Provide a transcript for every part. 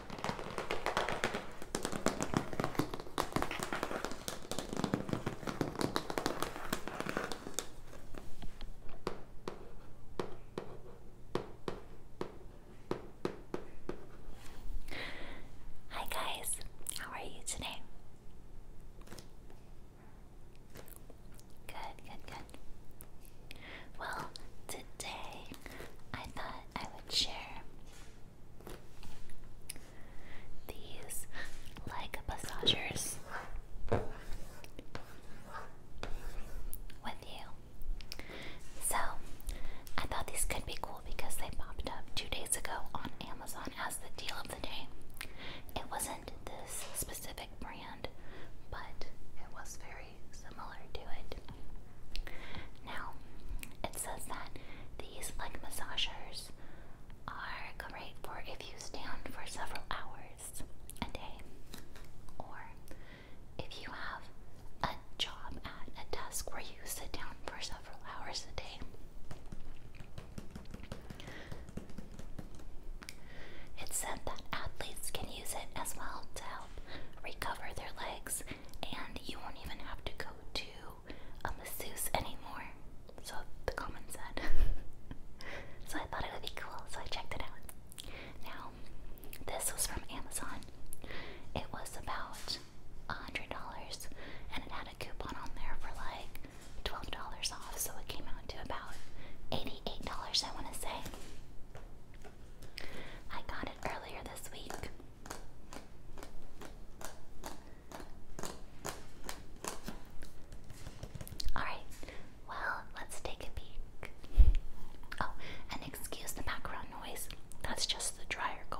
Hi guys, how are you today? Good, good, good. Well, today I thought I would share these leg massagers with you. So, I thought these could be cool because they popped up two days ago on Amazon as the deal of the day. It wasn't this specific brand, but it was very similar to it. Now, it says that these leg massagers are great for if you stand for several hours a day, or if you have a job at a desk where you sit down for several hours a day. It said that athletes can use it as well to help recover their legs and you won't even have to go to a um, masseuse anymore. So the comment said. so I thought it would be cool, so I checked it out. Now, this was from Amazon. It was about a hundred dollars, and it had a coupon on there for like twelve dollars off, so it came out to about eighty-eight dollars. I want to say. I got it earlier this week. Alright, well, let's take a peek. Oh, and excuse the background noise. That's just the dryer going.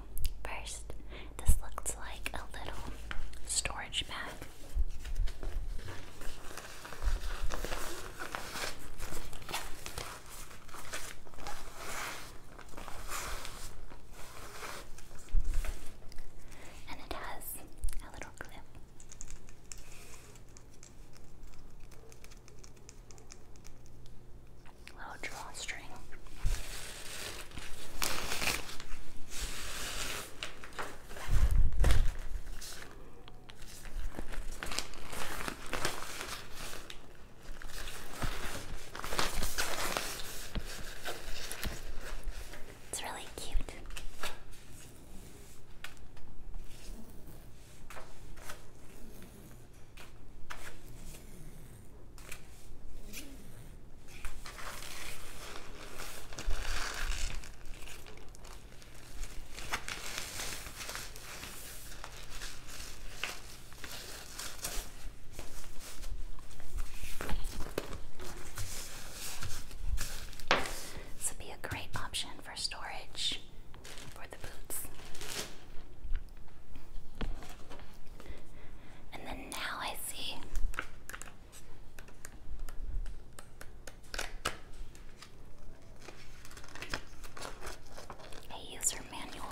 first, this looks like a little storage bag. And it has a little clip. Little drawstring string. It's really cute. This would be a great option for storage for the boots. And then now I see a user manual.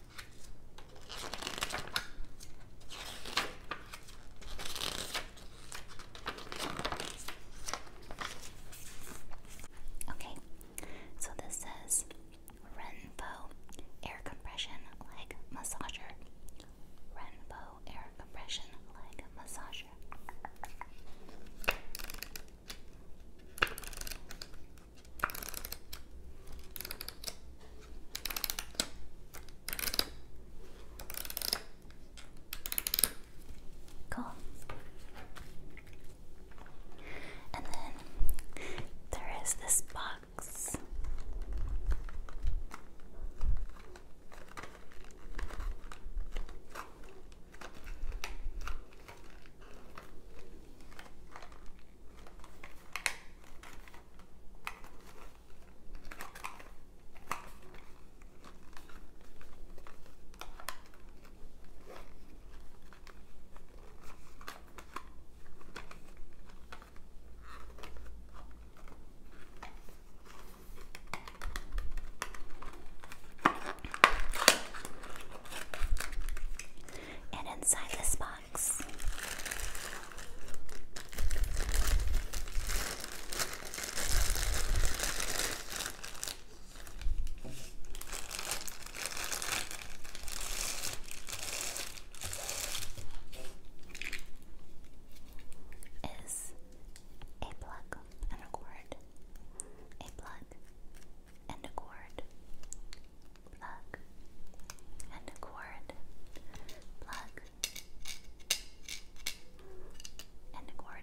Okay, so this says Renpo Air Compression Leg Massager. Renpo Air Compression Leg Massager. Cool. And then there is this box. And inside the spot box. Is a plug and a cord, a plug and a cord, plug, and a cord, plug, and a cord.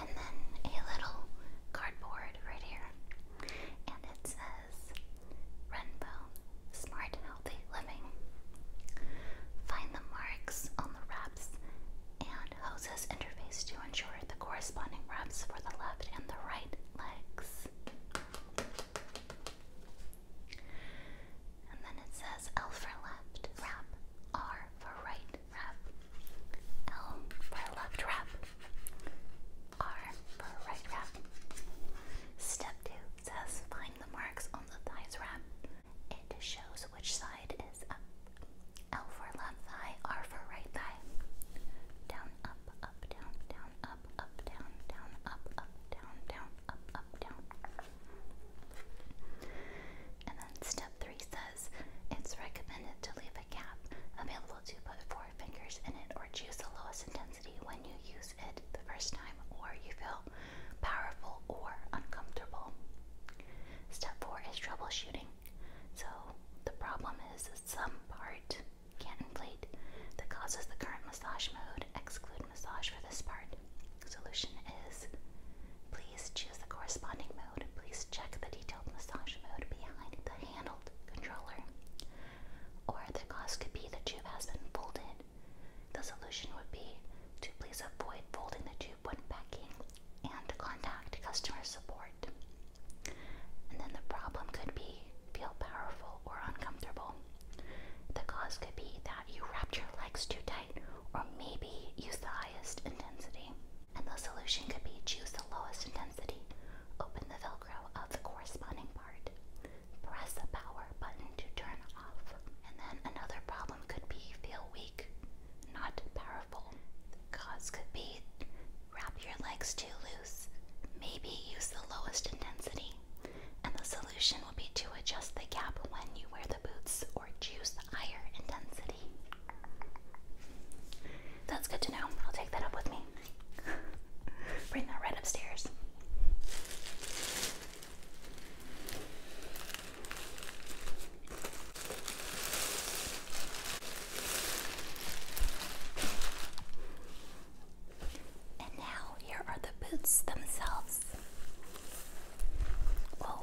And then a little cardboard right here. And it says Renbo Smart Healthy Living. Find the marks on the wraps and hoses interface to ensure the corresponding wraps for the left and the right legs. And then it says L for left wrap, R for right L for left wrap. R for right wrap. Step 2 says find the marks on the thighs wrap. It shows which side is up. L for left thigh, R for right thigh. Down, up, up, down, down, up, up, down, down, up, up, down, down, up, up, down. And then step three says it's recommended to leave a gap available to put four fingers in it or choose the lowest intensity when you use it the first time or you feel powerful or uncomfortable. Step four is troubleshooting. So the problem is some part can't inflate that causes the current massage mode. Exclude massage for this part. The Solution is please choose the corresponding mode. Please check the detailed massage mode behind the handled controller. Or the cause could be the tube has been folded. The solution would be to please avoid folding the tube when packing and contact customer support. And then the problem could be feel powerful or uncomfortable. The cause could be that you wrapped your legs too tight or maybe use the highest intensity. And the solution could be choose the lowest intensity, open the Velcro of the corresponding part, press the power button to turn off. And then another problem could be feel weak, not powerful. The cause could be wrap your legs too loose, maybe use the lowest intensity. And the solution would be to adjust the gap when you wear the boots or choose higher intensity. That's good to know. I'll take that up with me. Bring that right upstairs. And now, here are the boots themselves. Whoa.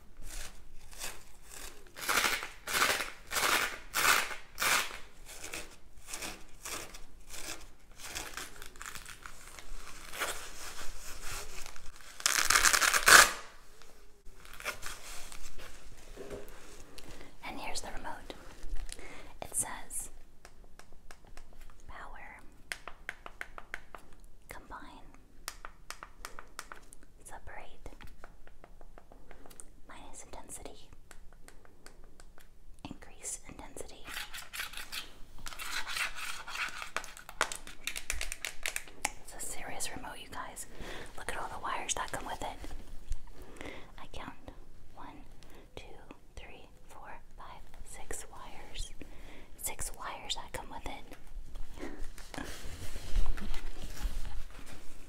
And here's the remote. It says power combine separate minus intensity increase intensity it's a serious remote you guys look at all the wires that come with it I count one two three four five six wires six wires that come with it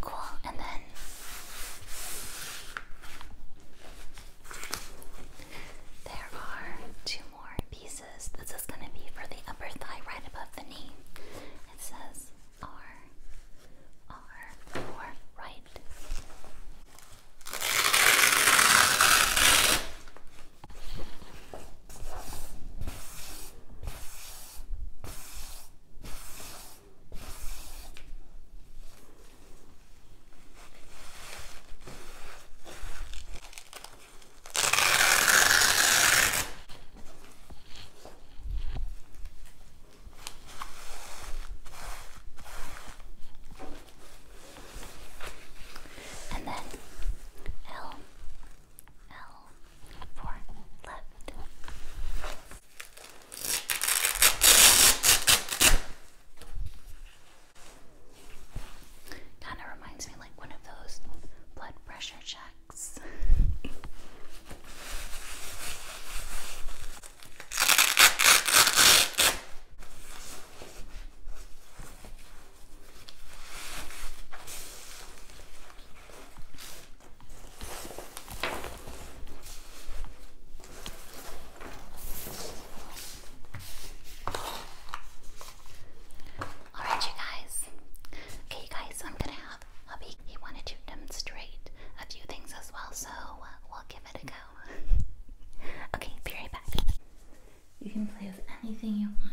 Cool, and then there are two more pieces. This is going to be for the upper thigh right above the knee. It says R are your right. And then L, L, four, Kind of reminds me like one of those blood pressure checks. Alright, you guys. Okay, you guys, I'm gonna have hubby. He wanted to demonstrate a few things as well, so uh, we'll give it a go. okay, be right back. You can play with anything you want.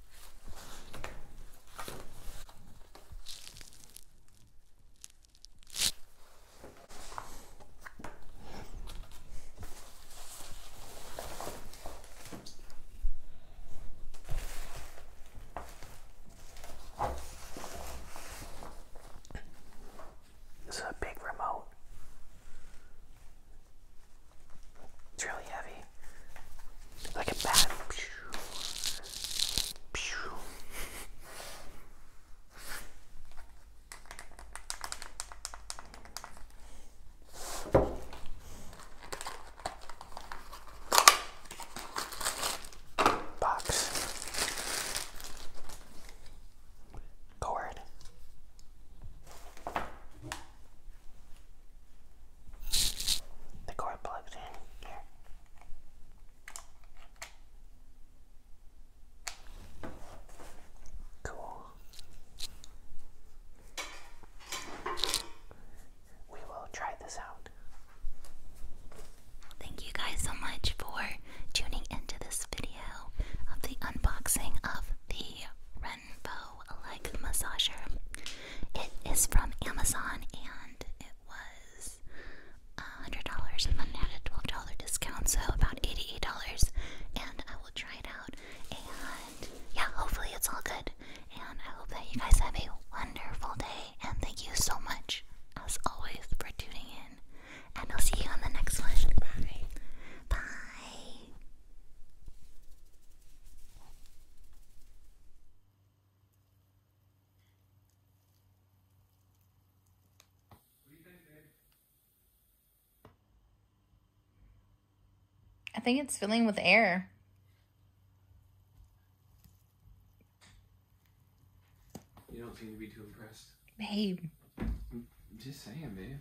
This is a big remote. It's really heavy. Like a bat. Box. Cord. The cord plugs in here. Cool. We will try this out. Thank you guys so much for tuning into this video of the unboxing of the Renfo a leg massager. It is from Amazon and it was $100 and then had a $12 discount, so about $88. And I will try it out. And yeah, hopefully it's all good. And I hope that you guys have a wonderful day. And thank you so much, as always, for tuning in. And I'll see you on the next one. Bye. Bye. I think it's filling with air. You don't seem to be too impressed. Babe. I'm just saying, babe.